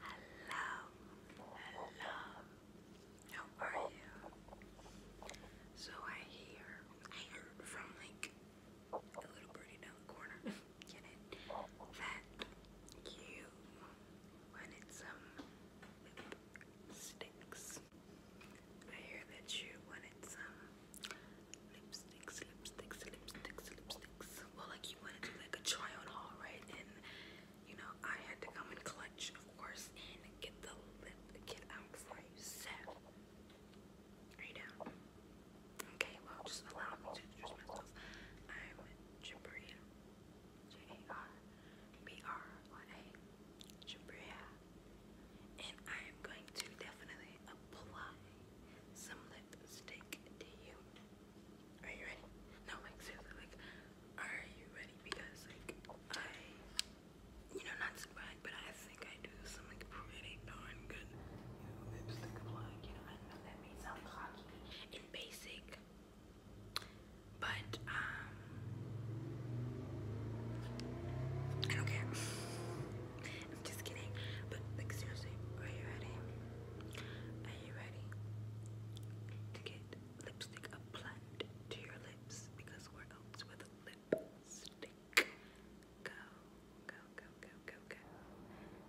Hello, hello. How are you? So I hear, I heard from like a little birdie down the corner, That you wanted some lip I hear that you wanted some lipsticks, lipsticks, lipsticks, lipsticks. Well, like you want to do like a try on haul, right? And you know, I had to come in clutch, of course, and get the lip kit out for you. So, are you down? Okay, well, just allow me to introduce myself. I'm Jabria, J A R B R Y A, Jabria, and I am going to definitely apply some lipstick to you. Are you ready? No, like like, are you ready? Because like I, you know, not to but I think I do some like pretty darn good you know, lipstick applying. You know, I know that may sound cocky and basic, but um, I don't care. I'm just kidding. But like seriously, are you ready? Are you ready to get lipstick applied to your lips? Because where else with a lipstick? Go, go, go, go, go, go.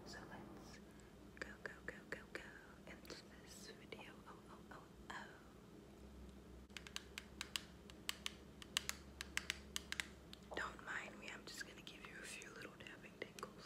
So let's go, go, go, go, go into this video. Oh, oh, oh, oh. Don't mind me, I'm just gonna give you a few little tapping tingles.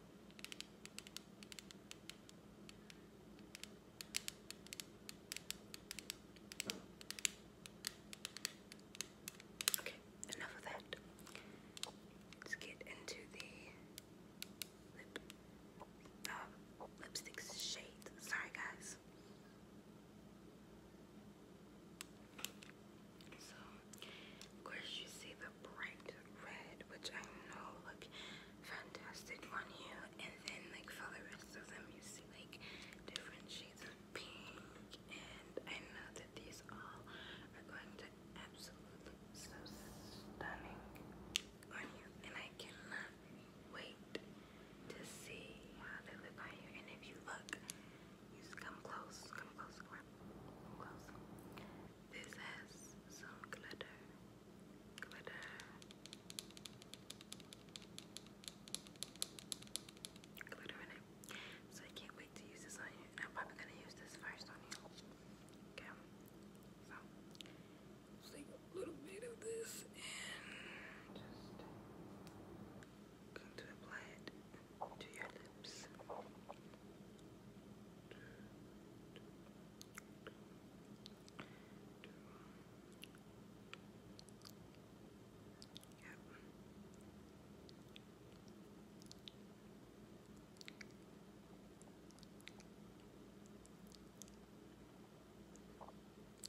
Okay, enough of that. Let's get into the lip uh, lipstick Sorry, guys. Of course, you see the bright red, which I know look fantastic on you, and then like for the rest of them, you see like different shades of pink, and I know that these all are going to absolutely stunning on you, and I cannot wait to see how they look on you, and if you look, you come close, come close, come close. This has some glitter. Glitter. Glitter in it. So I can't wait to use this on you. I'm probably gonna use this first on you. Okay. So take a little bit of this and just going to apply it to your lips.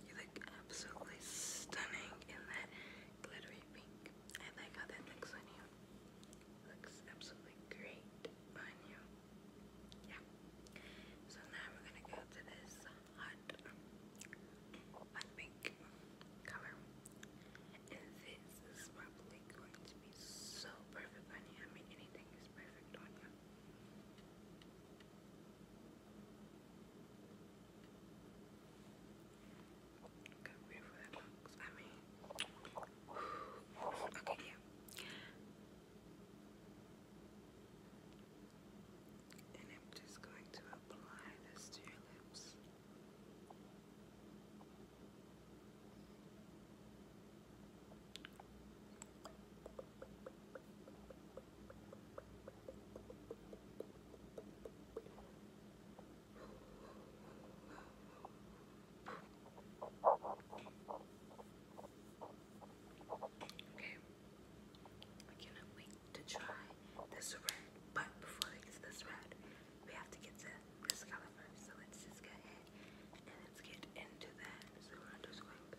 You look absolutely stunning in that glittery pink. I like how that looks on you. looks absolutely great on you. Yeah. So now I'm gonna go to this hot, hot pink color. And this is probably going to be so perfect on I mean, anything is perfect on you. I okay, yeah. And I'm just going to apply this to your lips. Okay. I cannot wait to try this red, but before I get this red, we have to get to this color first. So let's just go ahead and let's get into that. So I'm just going to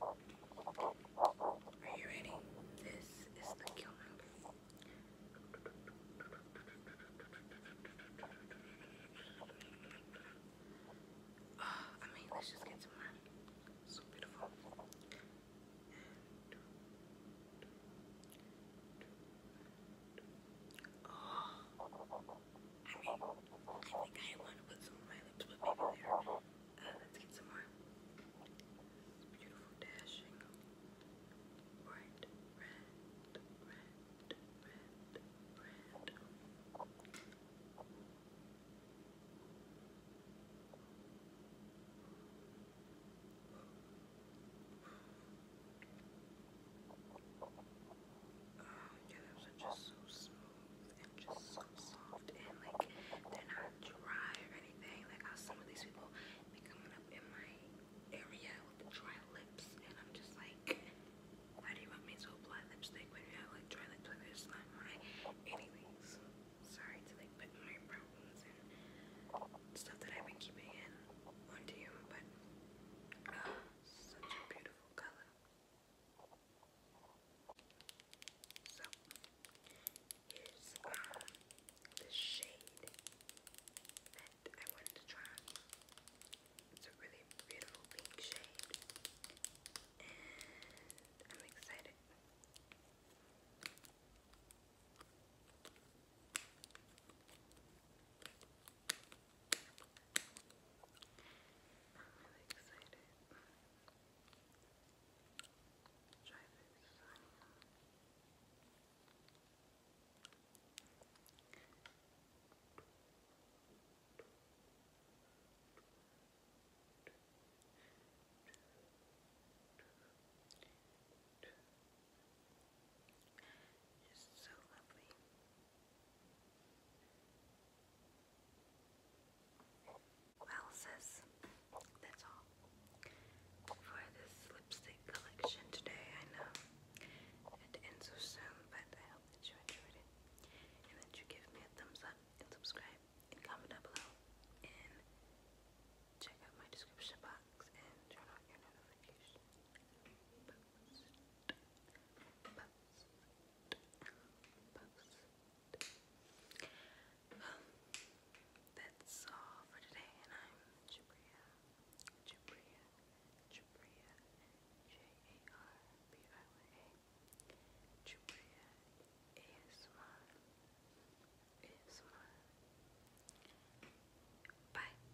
Are you ready? This is the kill number. Oh, ah, I mean, let's just get to mine. So beautiful. I mean, I think I want to put some of my lips, but maybe later. Uh, let's get some more. Beautiful dashing. Bright red, red, red, red. Oh, yeah, those are just so smooth and just so soft and like they're not dry or anything. Like how some of these people be coming up in my area with dry lips and I'm just like, how do you want me to apply lipstick when you have like dry lips? Like it's not Sorry to like put my problems and stuff that I've been keeping in onto you, but ah, such a beautiful color. So here's uh, the shade that I wanted to try. It's a really beautiful pink shade. And I'm excited. I'm really excited. Try this on him. It's so lovely. Well, that's all for this lipstick collection today. I know it ends so soon, but I hope that you enjoyed it and that you give me a thumbs up and subscribe and comment down below and check out my description box and turn on your notification. Well, that's all for today, and I'm Jabria, Jabria, Jabria, J-A-R-B-I-Y-A, Jabria ASMR, ASMR. Bye.